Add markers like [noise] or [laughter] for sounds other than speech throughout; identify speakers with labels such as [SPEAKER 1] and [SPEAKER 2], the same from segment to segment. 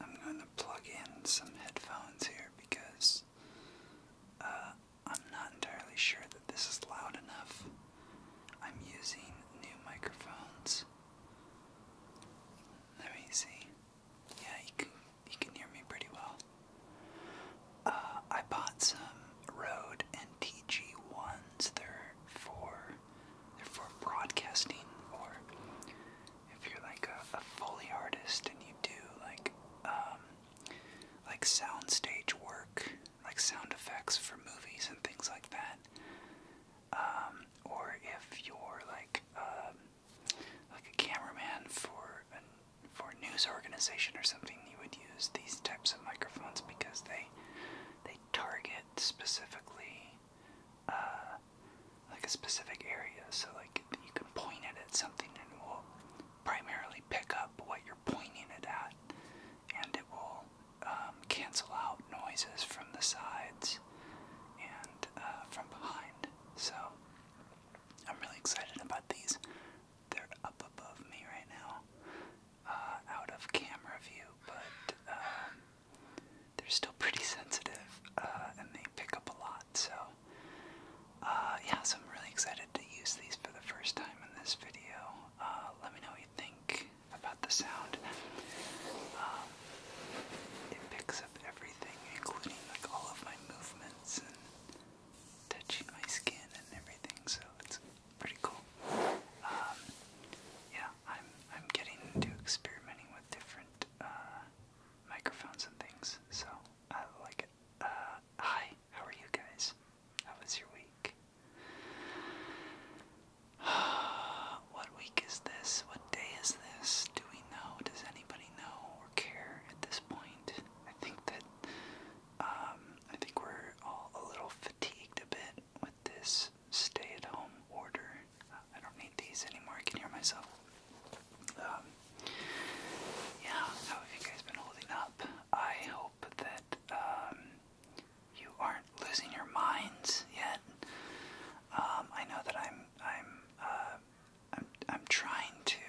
[SPEAKER 1] I'm going to plug in some headphones here because uh, I'm not entirely sure that this is loud enough. I'm using new microphones. Let me see. Yeah, you can, you can hear me pretty well. Uh, I bought some Rode NTG1s. They're for, they're for broadcasting or if you're like a, a Foley artist and you do like um, like soundstage work, like sound effects for movies and things like that, um, or if you're like um, like a cameraman for for a news organization or something, you would use these types of microphones because they they target specifically uh, like a specific area. So like you can point it at something and it will primarily pick up what you're pointing it at, and it will um, cancel out noises from the sides and uh, from behind. So I'm really excited about these. They're up above me right now, uh, out of camera view, but. Um, they're still pretty sensitive uh, and they pick up a lot. So, uh, yeah, so I'm really excited to use these for the first time in this video. Uh, let me know what you think about the sound. Um, it picks up everything, including like all of my movements and touching my skin and everything. So it's pretty cool. Um, yeah, I'm I'm getting into experimenting with different microphones and things, so I like it. Uh, hi, how are you guys? How was your week? [sighs] what week is this? What day is this? Do we know? Does anybody know or care at this point? I think that um, I think we're all a little fatigued a bit with this stay-at-home order. I don't need these anymore. I can hear myself. Um, yeah, how have you guys been holding up? I hope that um, you aren't losing your minds yet. Um, I know that I'm I'm uh, I'm I'm trying to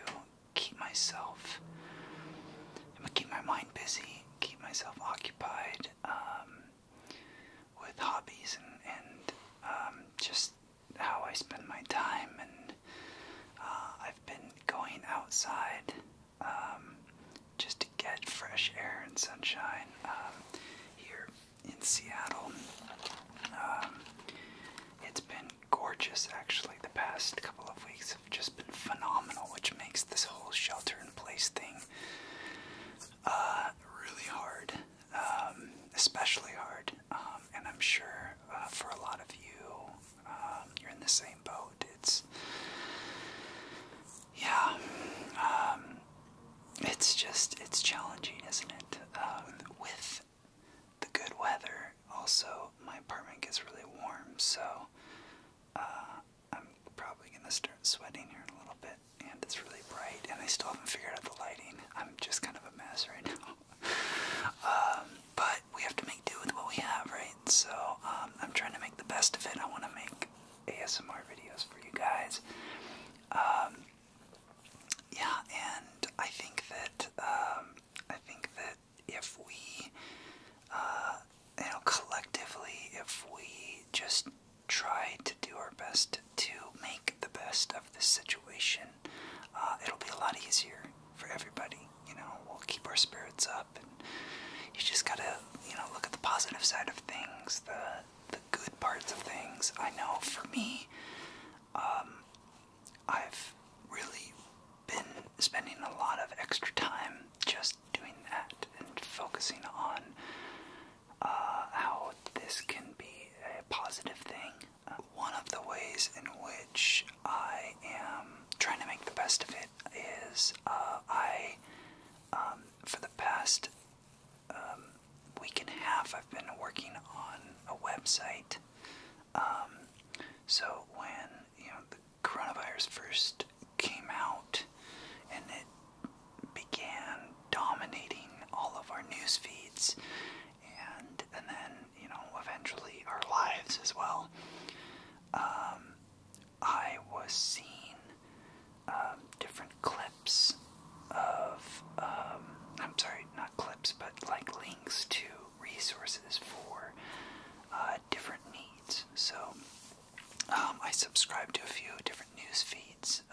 [SPEAKER 1] keep myself. I'm keep my mind busy, keep myself occupied with hobbies and, and um, just how I spend my time. And uh, I've been going outside um, just to get fresh air and sunshine um, here in Seattle. it's been gorgeous actually. The past couple of weeks have just been phenomenal, which makes this whole shelter in place thing uh, really hard.
[SPEAKER 2] Um, especially hard. Um, and I'm sure uh, for a lot of you, um, you're in the same boat. It's yeah, it's just
[SPEAKER 1] it's challenging, isn't it? with the good weather, also my apartment gets really warm, so uh, I'm probably gonna start sweating here in a little bit and it's really bright, and I still haven't figured out the lighting. I'm just kind of a mess right now. [laughs] Um, but we have to make do with what we have, right? So um, I'm trying to make the best of it. I want to make ASMR videos for you guys. Um, yeah, and I think that I think that if we, uh, you know, collectively, if we just try to do our best to make the best of this situation. Uh, it'll be a lot easier for everybody. You know, we'll keep our spirits up, and you just gotta, you know, look at the positive side of things, the the good parts of things. I know for me, um, I've really been spending a lot of extra time just doing that and focusing on uh, how this can be a positive thing. Uh, one of the ways in which I am trying to make the best of it is uh, I, um, for the past um, week and a half, I've been working on a website. Um, so when you know the coronavirus first came out, and it began dominating all of our news feeds and and then you know eventually our lives as well um, I was seeing um, different clips of um, I'm sorry not clips but like links to resources for uh, different needs so I subscribed to a few different news feeds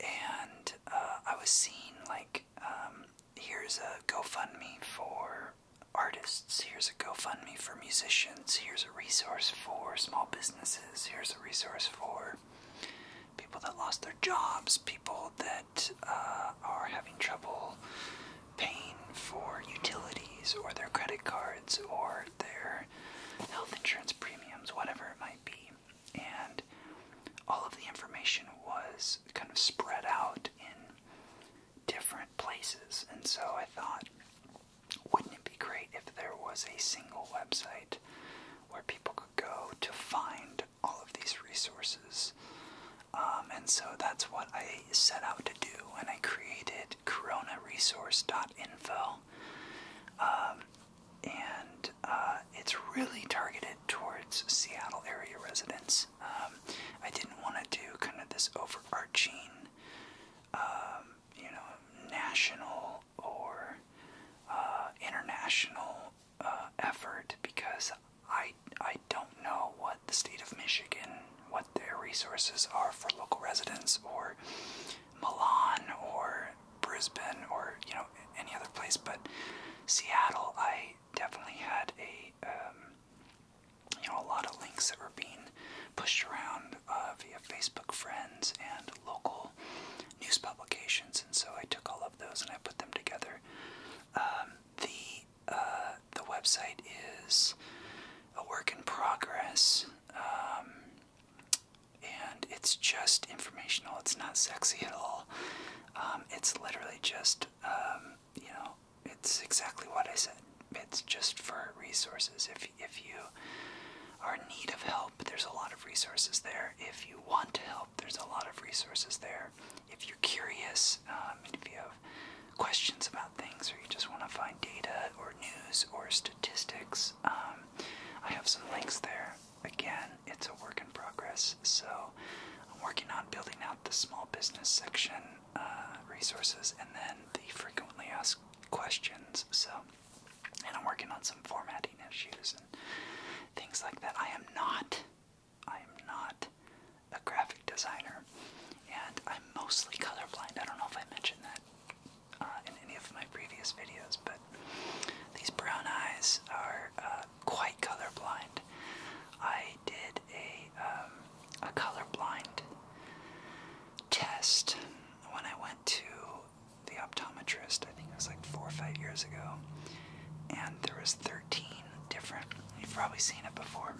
[SPEAKER 1] and uh, I was seeing like um, here's a GoFundMe for artists, here's a GoFundMe for musicians, here's a resource for small businesses, here's a resource for people that lost their jobs, people that uh, are having trouble paying for utilities or their credit cards or their health insurance premiums, whatever it might be. And all of the information was kind of spread out in different places. And so I thought, wouldn't it be great if there was a single website where people could go to find all of these resources? Um, and so that's what I set out to do, and I created coronaresource.info. Um, and uh, it's really targeted towards Seattle area residents. Um, I didn't want to do kind of this overarching, um, you know, national or uh, international uh, effort because I I don't know what the state of Michigan, what their resources are for local residents or Milan or Brisbane or you know any other place, but Seattle, I definitely had a um, you know a lot of links that were being pushed around uh, via Facebook friends and local news publications, and so I took all of those and I put them together. Um, the uh, the website is a work in progress. Um, and it's just informational. It's not sexy at all. Um, it's literally just, um, you know, it's exactly what I said. It's just for resources. If if you are in need of help, there's a lot of resources there. If you want to help, there's a lot of resources there. If you're curious, um, if you have questions about things, or you just want to find data or news or statistics, um, I have some links there. Again, it's a work in progress, so I'm working on building out the small business section uh, resources and then the frequently asked questions. So, and I'm working on some formatting issues and things
[SPEAKER 2] like that. I am not, I am not a graphic designer,
[SPEAKER 1] and I'm mostly colorblind. I don't know if I mentioned that uh, in any of my previous videos, but these brown eyes are uh, quite colorblind. I did a, um, a colorblind test when I went to the optometrist, I think it was like four or five years ago, and there was 13 different, you've probably seen it before,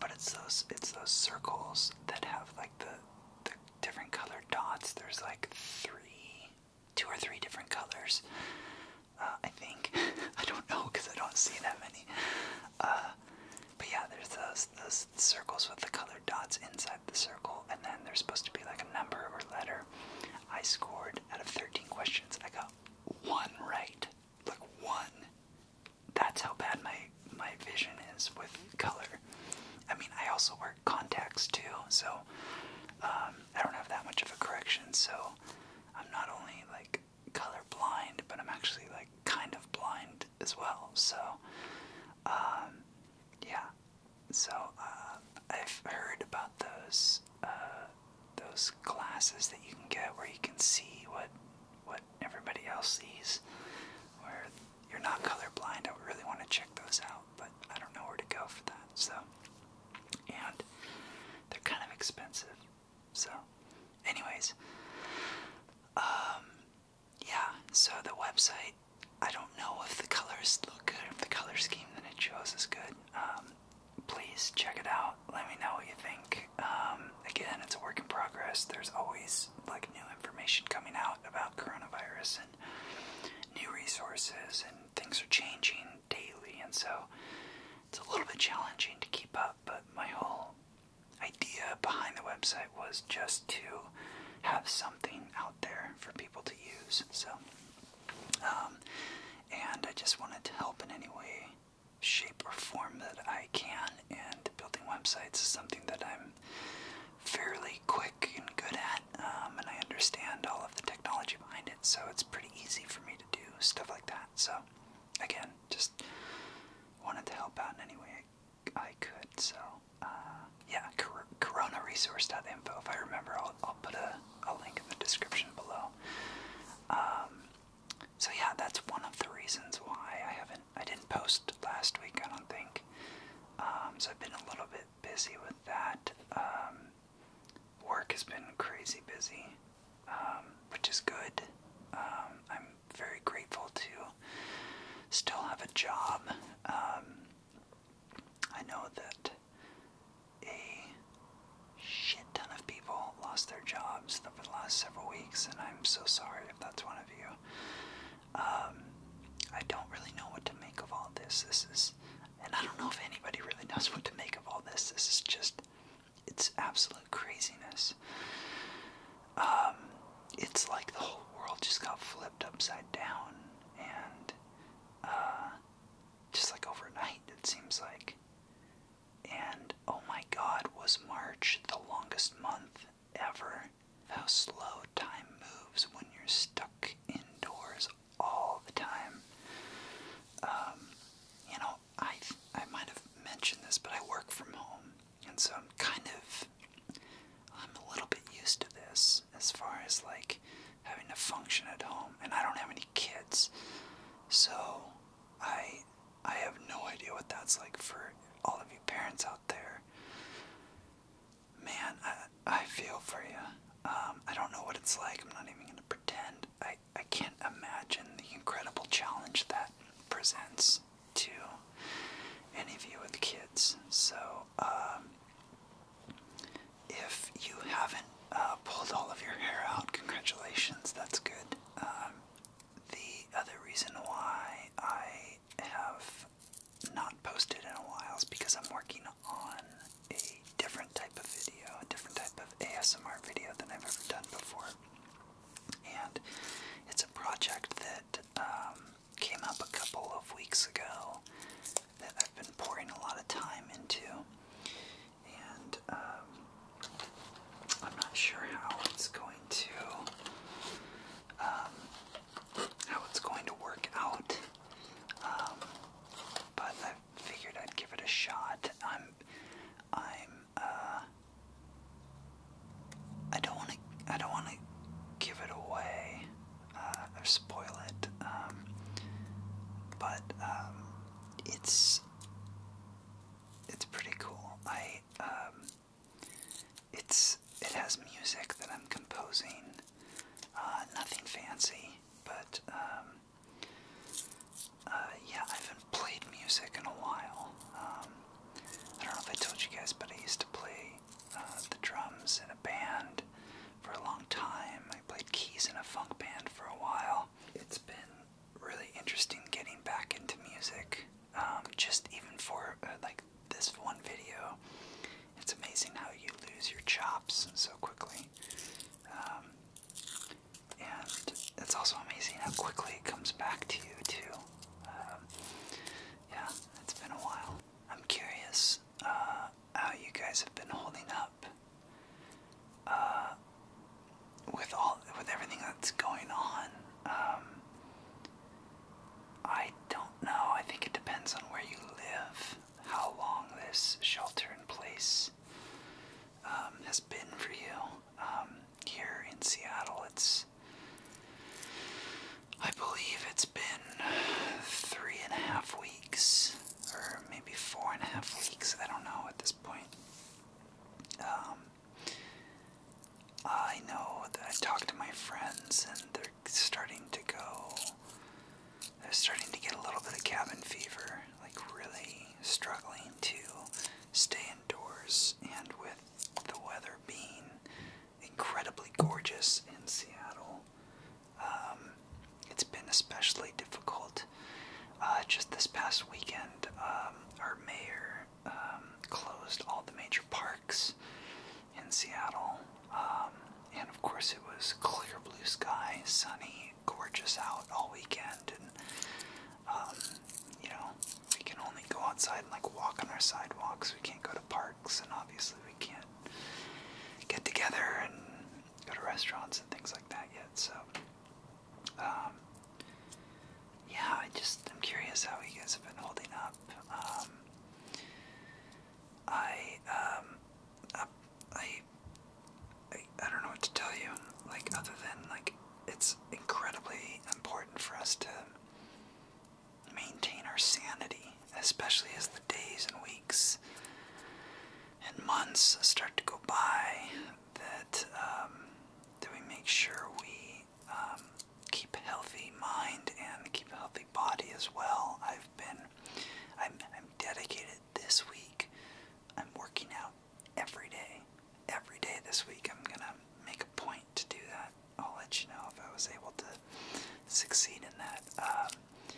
[SPEAKER 1] but it's those, it's those circles that have like the, the different colored dots. There's like three, two or three different colors. Uh, I think [laughs] I don't know because I don't see that many. Uh, but yeah, there's those those circles with the colored dots inside the circle, and then there's supposed to be like a number or letter. I scored out of 13 questions. I got one right, like one. That's how bad my my vision is with color. I mean, I also wear contacts too, so um, I don't have that much of a correction. So I'm not only like color blind, but I'm actually like kind of blind as well. So
[SPEAKER 2] um, yeah, so uh, I've heard about those uh, those glasses that you can get where you can see what what everybody else sees, where you're not colorblind, I really want to check those out, but I don't know where to go for
[SPEAKER 1] that. So, and they're kind of expensive. So, anyways, um, yeah. So the website, I don't know if the colors look good, if the color scheme that it chose is good. Um, please check it out. Let me know what you think. Um, again, it's a work in progress. There's always there's like new information coming out about coronavirus and new resources and things are changing daily and so it's a little bit challenging to keep up but my whole idea behind the website was just to have something out there for people to use so um, and I just wanted to help in any way shape or form that I can and building websites is something that I'm I'm fairly quick and good at, um, and I understand all of the technology behind it, so it's pretty easy for me to do stuff like that. So, again, just wanted to help out in any way I could. So, uh, yeah, cor coronaresource.info. If I remember, I'll, I'll put a, a link in the description below. Um, so yeah, that's one of the reasons why I haven't I didn't post last week, I don't think. Um, so I've been a little bit busy with that. Um, work has been crazy busy, um, which is good. I'm very grateful to still have a job. I know that a shit ton of people lost their jobs over the last several weeks, and I'm so sorry if that's one of you. Um, I don't really know what to make of all this. This is, and I don't know if anybody really knows [laughs] what to make of all this. This is just, it's absolute craziness. Um, it's like the whole world just got flipped upside down, and uh,
[SPEAKER 2] just like overnight, it seems like. And oh my God, was March the longest month ever.
[SPEAKER 1] How slow time moves when you're stuck indoors all the time. Um, you know, I I might have mentioned this, but I work from home, and so I'm kind of I'm a little bit used to this as far as like having to function at home, and I don't have any kids, so I I have no idea what that's like for all of you parents out there. Man, I I feel for you. Um, I don't know what it's like. I'm not even gonna pretend. I I can't imagine the incredible challenge that presents to any of you with kids. So um, if you haven't uh, pulled all of your hair out, congratulations. That's good. Um, the other reason why I have not posted in a while because I'm working on a different type of video, a different type of ASMR video than I've ever done before. And it's a project that um, came up a couple of weeks ago that I've been pouring a lot of time into. And um, I'm not sure how it's going to um, how it's going to work out. Um, but I figured I'd give it a shot. I'm, I'm, uh, I don't want to, I don't want to give it away uh, or spoil it. Um, but um, it's, it's pretty cool. I, it's it has music that I'm composing. Uh, nothing fancy, but um, uh, yeah, I haven't played music in a while. Um, I don't know if I told you guys, but I used to play uh, the drums in a band for a long time. I played keys in a funk band for a while. It's been really interesting getting back into music. Um, just even for uh, like this one video, it's amazing how you lose your chops so quickly. Um, and it's also amazing how quickly it comes back to you, too. Um, yeah, it's been a while. I'm curious uh, how you guys have
[SPEAKER 2] been holding up uh, with all with everything that's going on. I don't know. I think it depends on where you live, how long this shelter in place
[SPEAKER 1] um, has been for you. Um, here in Seattle, it's. I believe it's been three and a half weeks, or maybe four and a half weeks, I don't know at this point. Um, I know that I talk to my friends and they're starting to go. They're starting to get a little bit of cabin fever, like really struggling to stay indoors. And with the weather being incredibly gorgeous in Seattle, um, it's been especially difficult. Uh, just this past weekend, um, our mayor um, closed all the major parks in Seattle. Um, and of course, it was clear blue sky, sunny, gorgeous out all weekend. And, um, you know, we can only go outside and like walk on our sidewalks. We can't go to parks, and obviously, we can't get together and go to restaurants and things like that yet. So, yeah, I just I'm curious how you guys have been holding up. Um, I um, I, I I don't know what to tell you. Like other than like it's incredibly important for us to maintain our sanity, especially as the days and weeks and months start to go by. That um, that we make sure we um, keep a healthy mind and keep a healthy body as well. I've been, I'm, I'm dedicated this week. I'm working out every day. Every day this week, I'm gonna make a point to do that. I'll let you know if I was able to succeed in that. Um,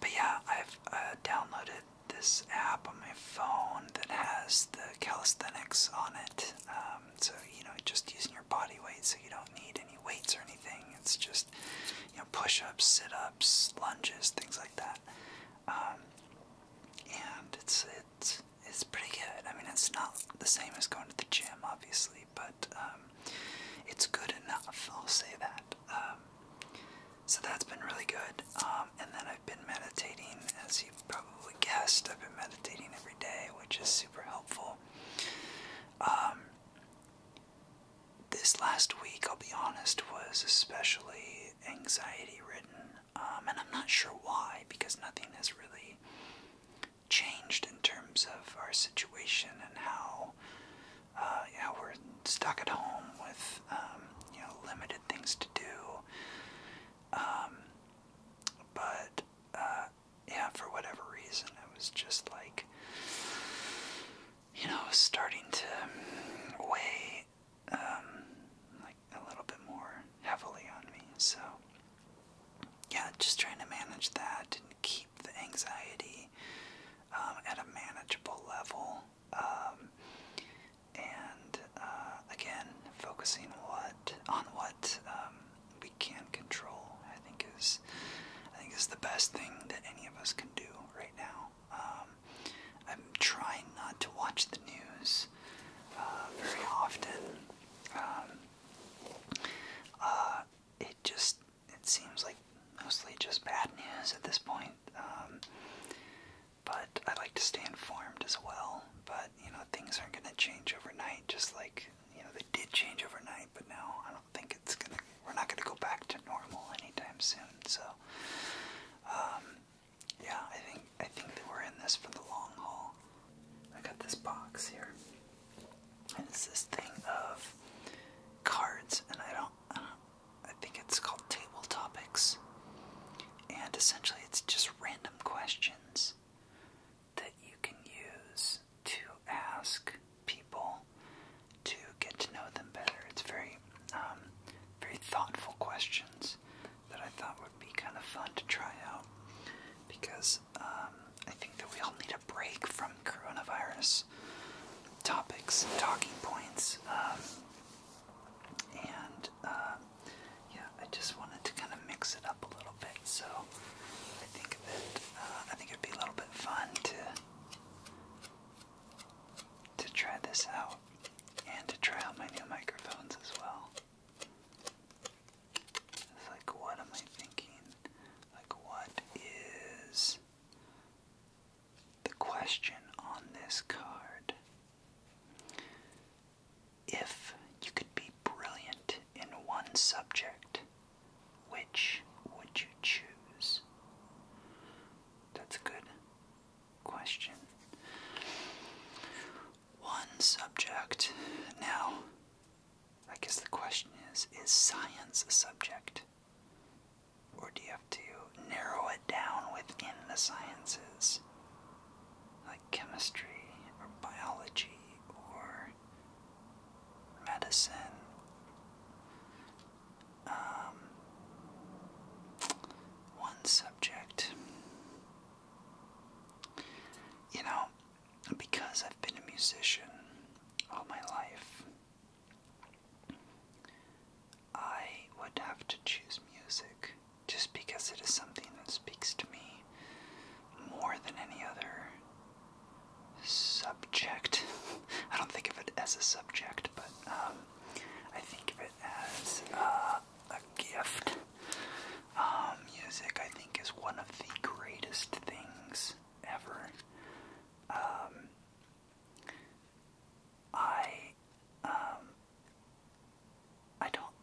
[SPEAKER 1] but yeah, I've uh, downloaded this app on my phone that has the calisthenics on it. Um, um, so you know, just using your body weight, so you don't need any weights or anything. It's just you know, push-ups, sit-ups,
[SPEAKER 2] lunges, things like that. Um, and it's it's
[SPEAKER 1] it's pretty good. I mean, it's not the same as going to the gym, obviously, but um, it's good enough. I'll say that. Um, so that's been really good. Um, and then I've been meditating, as you probably guessed, I've been meditating every day, which is super helpful. Um, this last week, I'll be honest, was especially anxiety ridden, um, and I'm not sure why, because nothing has really changed in terms of our situation and how uh, we're stuck at home with um, you know limited things to do. but uh, yeah, for whatever reason, it was just like, you know, starting to weigh um, like a little bit more heavily on me. So, yeah, just trying to manage that and keep the anxiety um, at a manageable level. Um, and uh, again, focusing on what um, we can control, I think is the best thing that any of us can do right now. Um, I'm trying not to watch the news uh, very often. Um, uh, it just it seems like mostly just bad news at this point. but I like to stay informed as well. But you know things aren't going to change overnight. Just like you know they did change overnight, but now I don't think it's gonna. We're not going to go back to normal anytime soon. So, um, yeah, I think I think that we're in this for the long haul. I got this box here, and it's this thing of cards, and I don't. I, don't, I think it's called Table Topics. And essentially, it's just random questions that you can use to ask people to get to know them better. It's very, um, very thoughtful questions that I thought would be kind of fun to try out because um, I think that we all need a break from coronavirus topics and talking points. Um, and yeah, I just wanted to kind of mix it up a little bit. So I think that uh, I think it'd be a little bit fun to to try this out and to try out my new microphones as well. like, what am I thinking? Like, what is the question on this card? if you could be
[SPEAKER 2] brilliant in one subject, which would you choose?
[SPEAKER 1] That's a good question. One subject. Now, I guess the question is is science a subject? Or do you have to narrow it down within the sciences? like chemistry or biology or medicine. Um, one subject. You know, because I've been a musician all my life, I would have to choose music just because it is something that speaks to me more than any other subject. [laughs] I don't think of it as a subject, but um, I think of it as uh, a gift. Um, music, I think, is one of the greatest things ever. Um, I I don't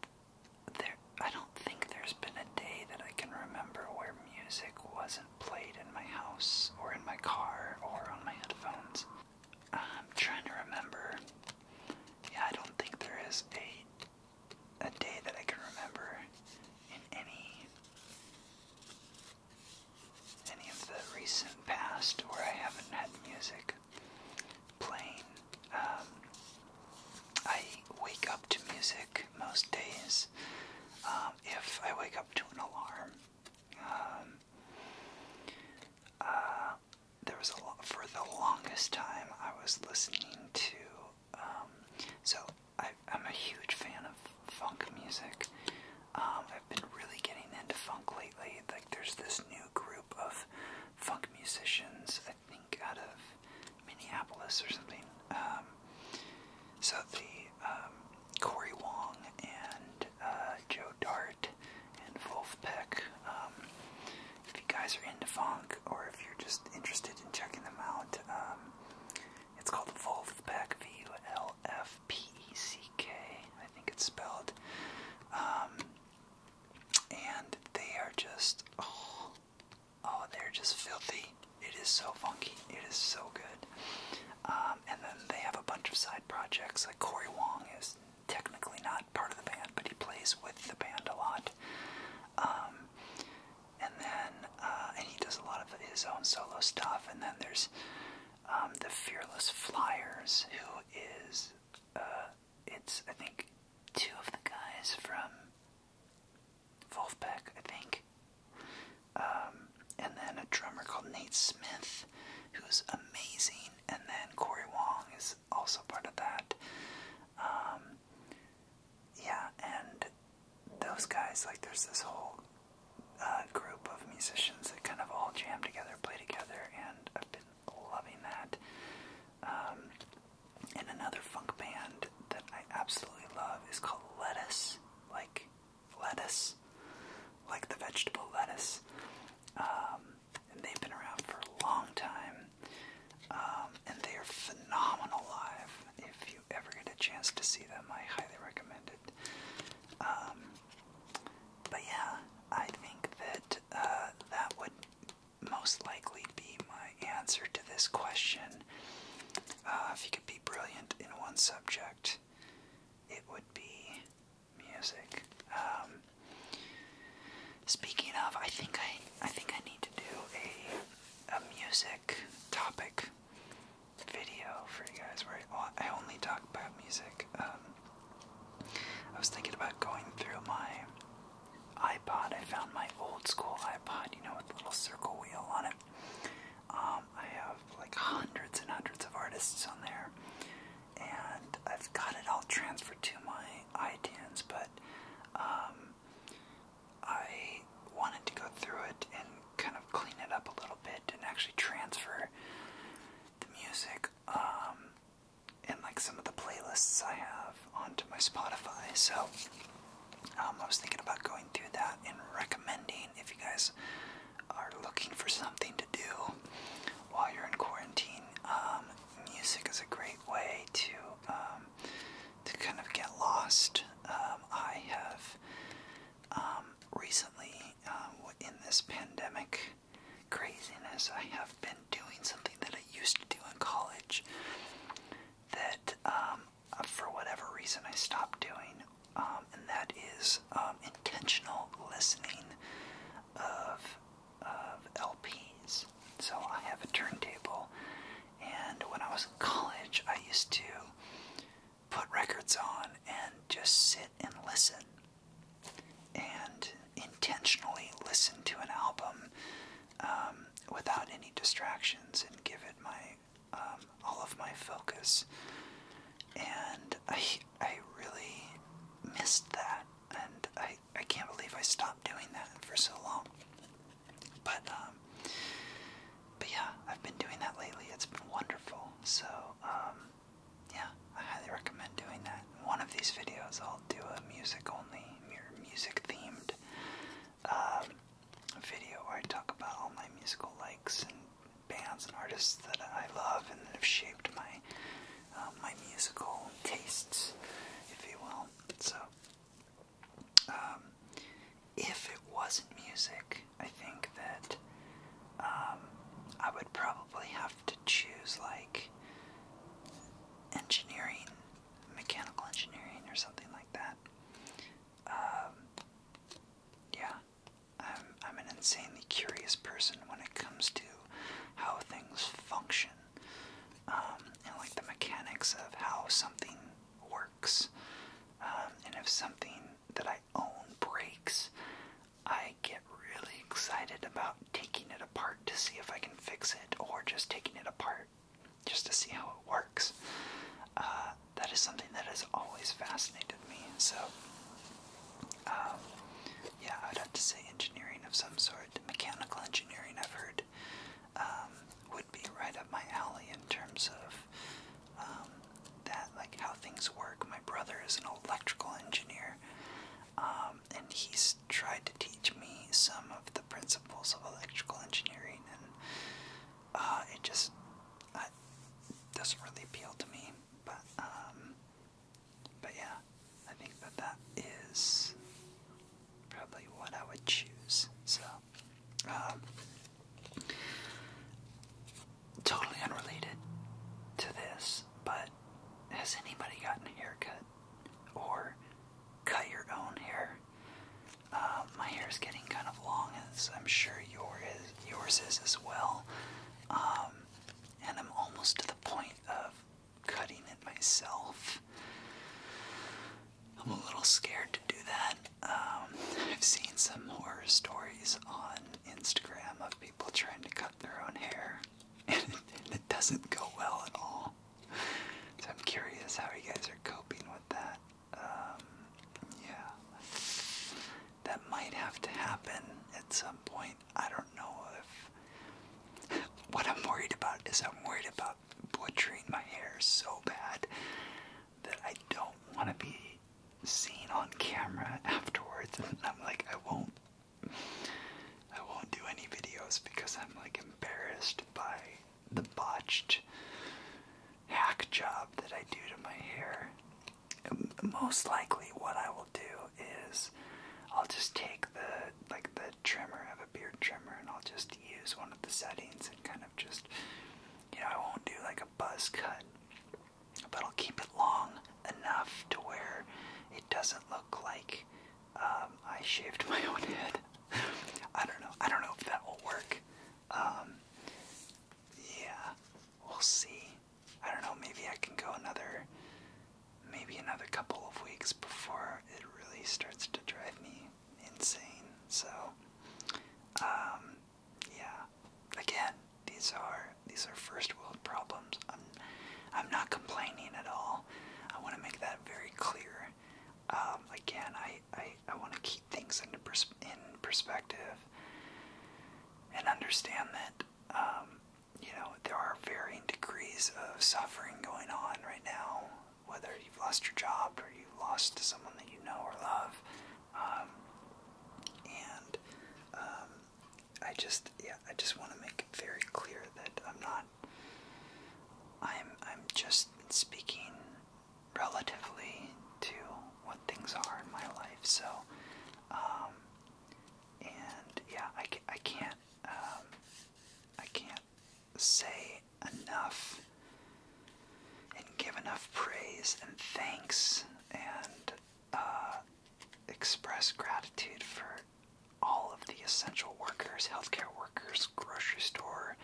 [SPEAKER 1] there I don't think there's been a day that I can remember where music wasn't played in my house or in my car or on my headphones. I'm trying to remember. Yeah, I don't think there is a a day that I can remember in any any of the recent
[SPEAKER 2] past where I haven't had music playing. Um, I wake up to music
[SPEAKER 1] most days. Um, if I wake up to an alarm, um, uh, there was a lot, for the longest time I was listening to. so I, am a huge fan of
[SPEAKER 2] funk music. I've been really getting into funk lately. Like there's this
[SPEAKER 1] new group of funk musicians think out of Minneapolis or something. Um, so the um, Corey Wong and uh, Joe Dart and Wolf Peck. Um, if you guys are into funk or if you're just interested in checking them out, it's called Wolf Peck. V U L F P E C K. I think it's spelled and they are just oh, oh, they're just filthy. It is so funky. It is so good. Um, and then they have a bunch of side projects. Like Corey Wong is technically not part of the band, but he plays with the band a lot. Um, and then uh, and he does a lot of his own solo stuff. And then there's um, the Fearless Flyers, who is uh, it's I think two of the guys from Wolfpack, I think, um, and then a drummer called Nate Smith, who's amazing, and then Corey Wong is also part of that. Um, yeah, and those guys, like, there's this whole uh, group of musicians that kind of all jam together, play together, and I've been loving that. Um, and another funk band that I absolutely love is called Lettuce, like lettuce, like the vegetable lettuce. Um, and they've been around for a long time. Um, and they are phenomenal live. If you ever get a chance to see them, I highly recommend it. but yeah, I think that uh, that would most likely be my answer to this question. Uh, if you could be brilliant in one subject, it would be music. Um, speaking of, I think I I think I need to do a a music topic video for you guys where I, only talk about music. Um, I was thinking about going through my iPod. I found my old school iPod, you know, with the little circle wheel on it. Um, I have like hundreds and hundreds of artists on there, and I've got it all transferred to my iTunes, but um, I wanted to go through it and kind of clean it up a little bit and actually transfer the music um, and like some of the playlists I have onto my Spotify. So um, I was thinking about going through that and recommending if you guys are looking for something to do while you're in quarantine. Um, music is a great way to um, to kind of get lost. I have recently in this pandemic craziness. I have been doing something that I used to do in college that, um, for whatever reason, I stopped doing, um, and that is um, intentional listening of of LPs. So I have a turntable, and when I was in college, I used to put records on and just sit and listen and intentionally listen to an album um, without any distractions and give it my um, all of my focus. And I I really missed that, and I I can't believe I stopped doing that for so long. But um, but yeah, I've been doing that lately. It's been wonderful. So yeah, I highly recommend doing that. One of these videos, I'll do a music-only, music-themed um, video where I talk about all my musical likes and bands and artists that I love and that have shaped my um, my musical tastes, if you will. So, um, if it wasn't music, I think that I would probably have have to choose like engineering, mechanical engineering, or something like that. Um, yeah, I'm I'm an insanely curious person when it comes to how things function um, and like the mechanics of how something works. Um, and if something that I own breaks, I get really excited about taking it apart to see if I can fix it or just taking it apart just to see how it works. Uh, that is something that has always fascinated me. So, um, yeah, I'd have to say engineering of some sort. Mechanical engineering, I've heard, um, would be right up my alley in terms of um, that, like how things work. My brother is an electrical engineer, um, and he's tried to teach me some of the principles of electrical engineering, and uh, it just uh, doesn't really appeal to me. But um, but yeah, I think that that
[SPEAKER 2] is probably what I would choose. So. Um,
[SPEAKER 1] totally unrelated to this, but has anybody gotten a haircut? Or cut your own hair? Uh, my hair is getting kind of long, as I'm sure yours is as well. Um, and I'm almost to the point of cutting it myself. I'm a little scared to do that. Um, I've seen some horror stories on Instagram of people people trying to cut their own hair, [laughs] and it, doesn't go well at all. So I'm curious how you guys are coping with that. Um,
[SPEAKER 2] yeah, that might have to happen at some point. I don't
[SPEAKER 1] know if. [laughs] What I'm worried about is I'm worried about butchering my hair so bad that I don't want to be seen on camera [laughs] afterwards, and I'm like, I won't I won't do any videos because I'm like embarrassed by the botched hack job that I do to my hair. Um, most likely, what I will do is I'll just take the like the trimmer, of a beard trimmer, and I'll just use one of the settings and kind of just you know I won't do like a buzz cut, but I'll keep it long enough to where it doesn't look like um, I shaved [laughs] my own head. I don't know. I don't know if that will work. Um, yeah, we'll see. I don't know. Maybe I can go another, maybe another couple of weeks before it really starts to drive me insane. So, um, yeah. Again, these are these are first world problems. I'm I'm not complaining at all. I want to make that very clear. Um, again, I I, want to keep things into pers in perspective and understand that um, you know there are varying degrees of suffering going on right now. Whether you've lost your job or you lost someone that you know or love, um, and I just yeah, I just want to make it very clear that I'm not I'm I'm just speaking relatively to what things are in my life. So um, and yeah, I I can't um, I can't say enough and give enough praise and thanks and uh, express gratitude for all of the essential workers, healthcare workers, grocery store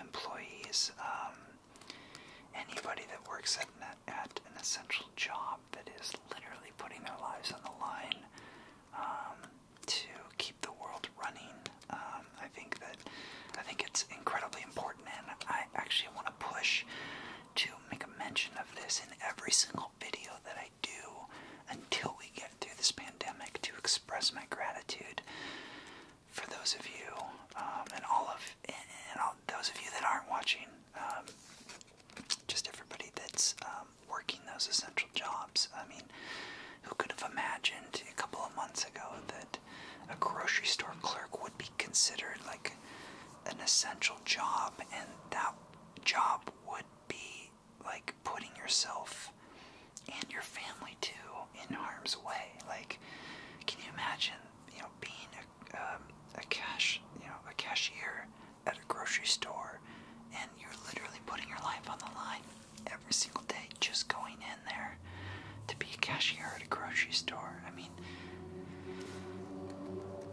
[SPEAKER 1] employees, um, anybody that works at an, essential job that is literally putting their lives on the line um, to keep the world running. Um, I think that I think it's incredibly important, and I actually want to push to make a mention of this in every single video that I do until we get through this pandemic to express my gratitude for those of you um, and all of and all those of you that aren't watching. Um, just everybody that's um, working those essential jobs. I mean, who could have imagined a couple of months ago that a grocery store clerk would be considered like an essential job, and that job would be like putting yourself and your family too in harm's way. Like, can you imagine, you know, being a, um, a cash, you know, a cashier at a grocery store, and you're literally putting your life on the line every single day, just going in there to be a cashier at a grocery store. I mean,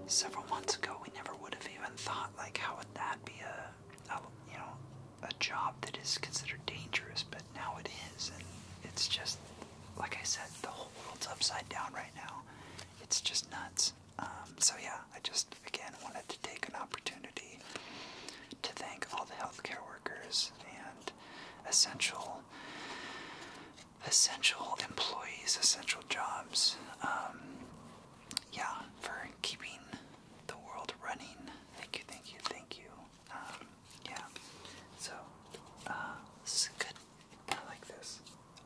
[SPEAKER 1] several months ago, we never would have even thought like how would that be a, you know a job that is considered dangerous, but now it is, and it's just like I said, the whole world's upside down right now. It's just nuts. Um, so yeah, I just again wanted to take an opportunity to thank all the healthcare workers and essential essential employees, essential jobs. Um, yeah, for keeping the world running. Thank you, thank you, thank you. Um, yeah. So, uh, this is good. I like this.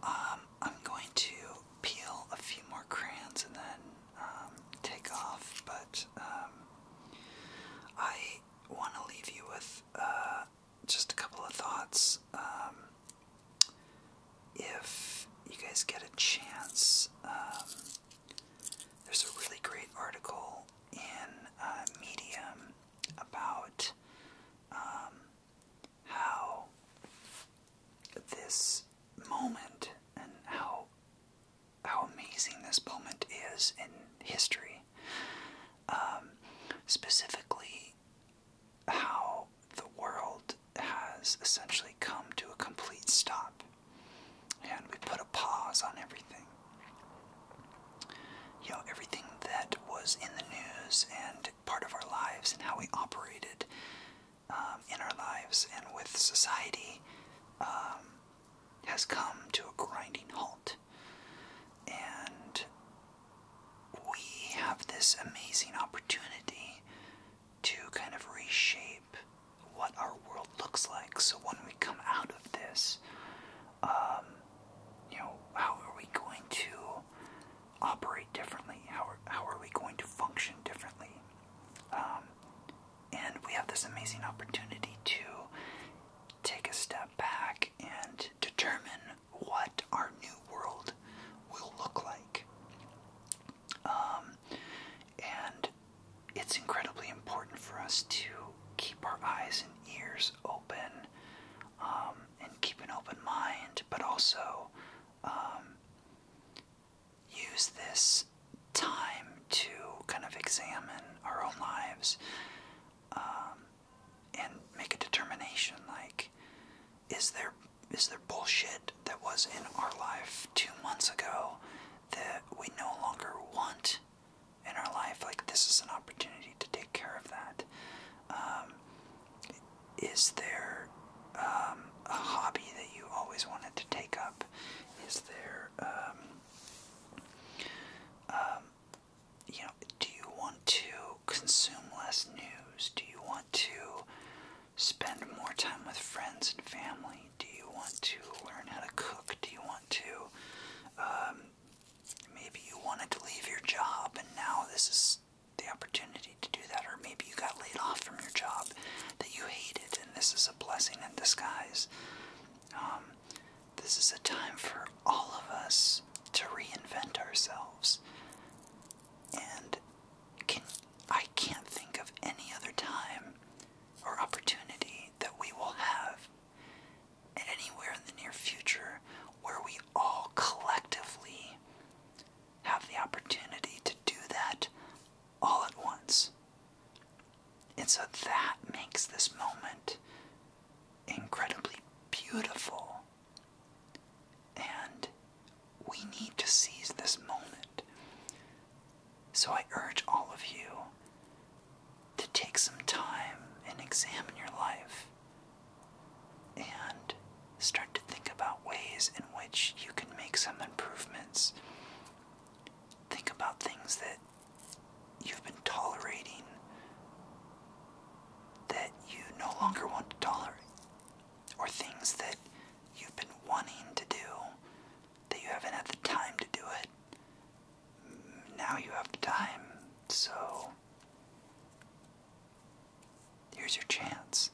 [SPEAKER 1] Um, I'm going to peel a few more crayons and then um, take off, but um, I want to leave you with uh, just a couple of thoughts. Um, if you guys get a
[SPEAKER 2] chance, um, there's a really great article in uh, Medium about um, how this
[SPEAKER 1] moment and how how amazing this moment is in history. specifically, how the world has essentially come to a complete stop. And we put a pause on everything. You know, everything that was in the news and part of our lives and how we operated um, in our lives and with society um, has come to a grinding halt. And we have this amazing opportunity to kind of reshape what our world looks like. So when we come out of this, um, you know, how are we going to operate differently? How are, how are we going to function differently? Um, and we have this amazing opportunity to take a step back and determine what our new world will look like. Um, and it's incredibly important for us to keep our eyes and ears open um, and keep an open mind, but also um, use this time to kind of examine
[SPEAKER 2] our own lives and make a determination like, is there is there bullshit that was in our life two months ago that we no longer want in our life? Like this is an opportunity to take care of that. Um,
[SPEAKER 1] is there um, a hobby that you always wanted to take up? Is there um, you know, do you want to consume less news? Do you want to spend more time with friends and family? Do you want to learn how
[SPEAKER 2] to cook? Do you want to, um, maybe you wanted to leave your
[SPEAKER 1] job and now this is the opportunity to do that, or maybe you got laid off from your job that you hated and this is a blessing in disguise. Um, this is a time for all of us to reinvent ourselves. And can I can't think of any other time or opportunity that we will have anywhere in the near future where we all collectively have the opportunity to do that all at once. And so that makes this moment incredibly beautiful and we need to seize this moment. So I urge all of you to take some time and examine your life and start to think about ways in which you can make some improvements. Think about things that you've been tolerating that you no longer want to tolerate, or things that you've been wanting to do that you haven't had the time to do it. Now you have the time, so here's your chance.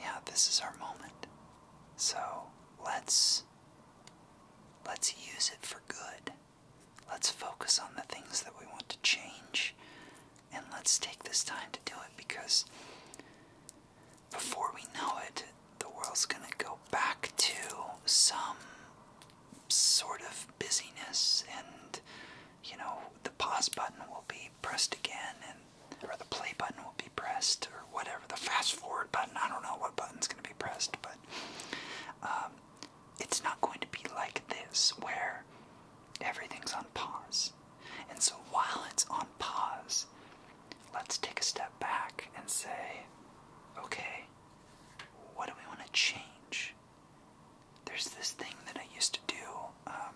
[SPEAKER 1] Yeah, this is our moment. So let's let's use it for good. Let's focus on the things that we want to change and let's take this time to do it because before we know it, the world's going to go back to some sort of busyness and you know the pause button will be pressed again and or the play button will be pressed or whatever the fast forward button i don't know what button's going to be pressed but um, it's not going to be like this where everything's on pause. And so while it's on pause, let's take a step back and say, okay, what do we want to change? There's this thing that I used to do um,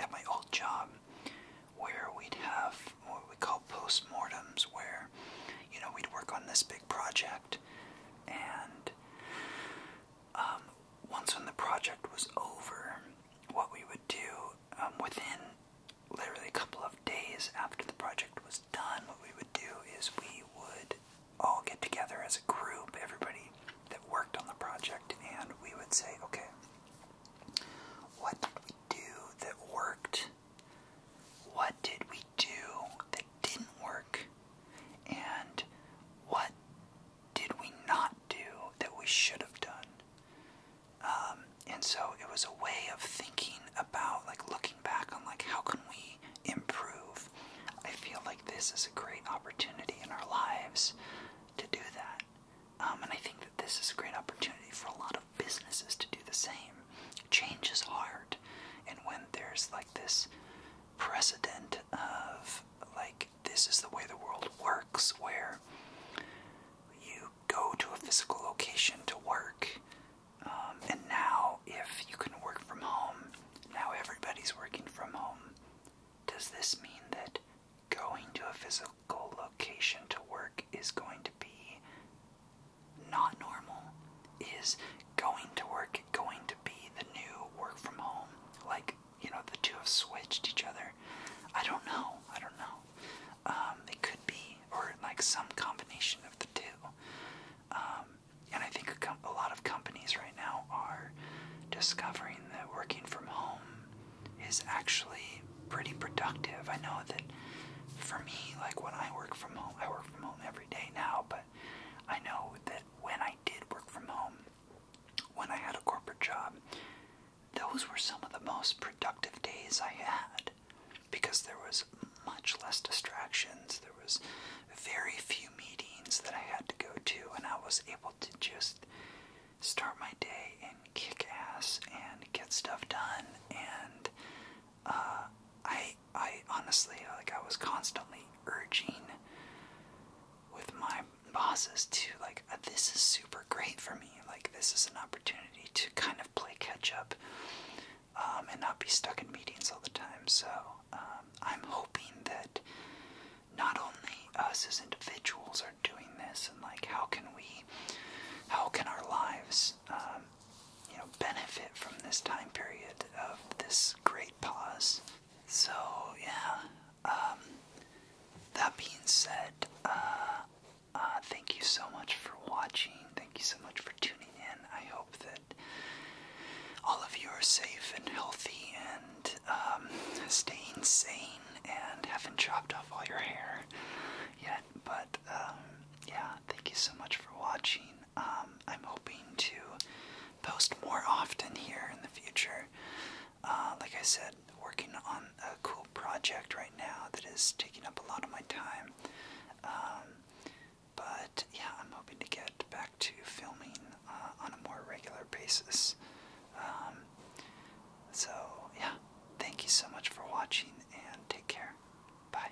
[SPEAKER 1] at my old job where we'd have what we call postmortems, where you know we'd work on this big project and um, once when the project was over, what we would do um, within literally a couple of days after the project was done, what we would do is we would all get together as a group, everybody that worked on the project, and we would say, okay, what did we do that worked? What did we do that didn't work and what did we not do that we should have done? Um, and so it was a way of thinking about, like looking back on, like, how can we improve? I feel like this is a great opportunity in our lives to do that. Um, and I think that this is a great opportunity for a lot of businesses to do the same. Change is hard. And when there's like this precedent of like this is the way the world works where you go to a physical location to work um, and now if you can work from home now everybody's working from home does this mean that going to a physical location to work is going to be not normal is going to work
[SPEAKER 2] going to be the new work from home like you know the two have switched each other
[SPEAKER 1] i don't know i don't know um, it could be or like some combination of the two um, and i think a lot of companies right now are discovering that working from home is actually pretty productive i know that for me like when i work from home i work from home every day now but i know that when I did work from home, when I had a corporate job, those were some of the most productive days I had because there was much less distractions. There was very few meetings that I had to go to, and I was able to just start my day and kick ass and get stuff done. And uh, I I honestly, like, I was constantly urging with my bosses to, like, uh, this is super great for me. Like, this is an opportunity to kind of play catch up um, and not be stuck in meetings all the time. So, um, I'm hoping that not only us as individuals are doing this, and, like, how can we, how can our lives, um, you know, benefit from this time period of this great pause. So yeah, um, that being said, uh, uh, thank you so much for watching. Thank you so much for tuning in. I hope that all of you are safe and healthy and stay um, staying sane and haven't chopped off all your hair yet. But um, yeah, thank you so much for watching. Um, I'm hoping to post more often here in the future. Uh, like I said, working on a cool project right now that is taking up a lot of my time. Um, but yeah, I'm hoping to get back to filming uh, on a more regular basis. Um, so yeah, thank you so much for watching and take care. Bye.